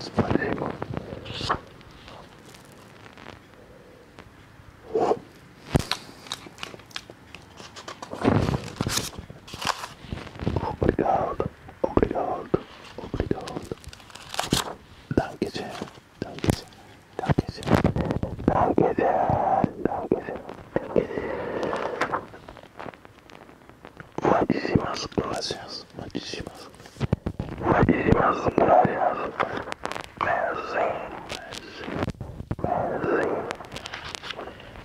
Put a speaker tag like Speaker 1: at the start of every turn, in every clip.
Speaker 1: Split angle. Obrigado, obrigado, obrigado. Danke schön, danke schön, danke schön, danke schön, danke schön, danke schön. Muchísimas gracias, muchísimas, muchísimas gracias. Merci, merci, merci.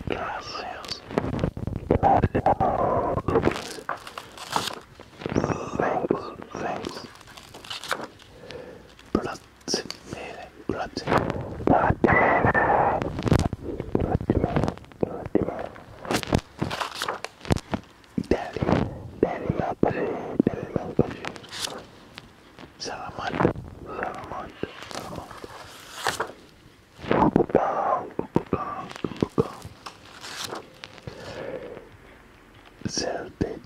Speaker 1: Gracias. Gracias. Thanks, thanks. Grazie mille, grazie. Grazie mille. Grazie mille dari dari apa sih dari apa sih selamat selamat selamat bukan bukan bukan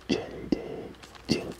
Speaker 1: Jink Jink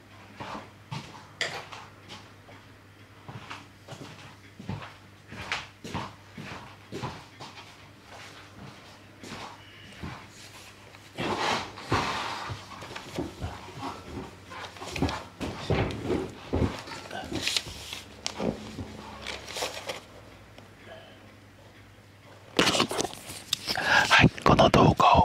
Speaker 1: はい、この動画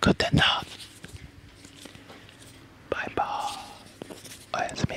Speaker 1: good enough. Bye bye. O ya すみ。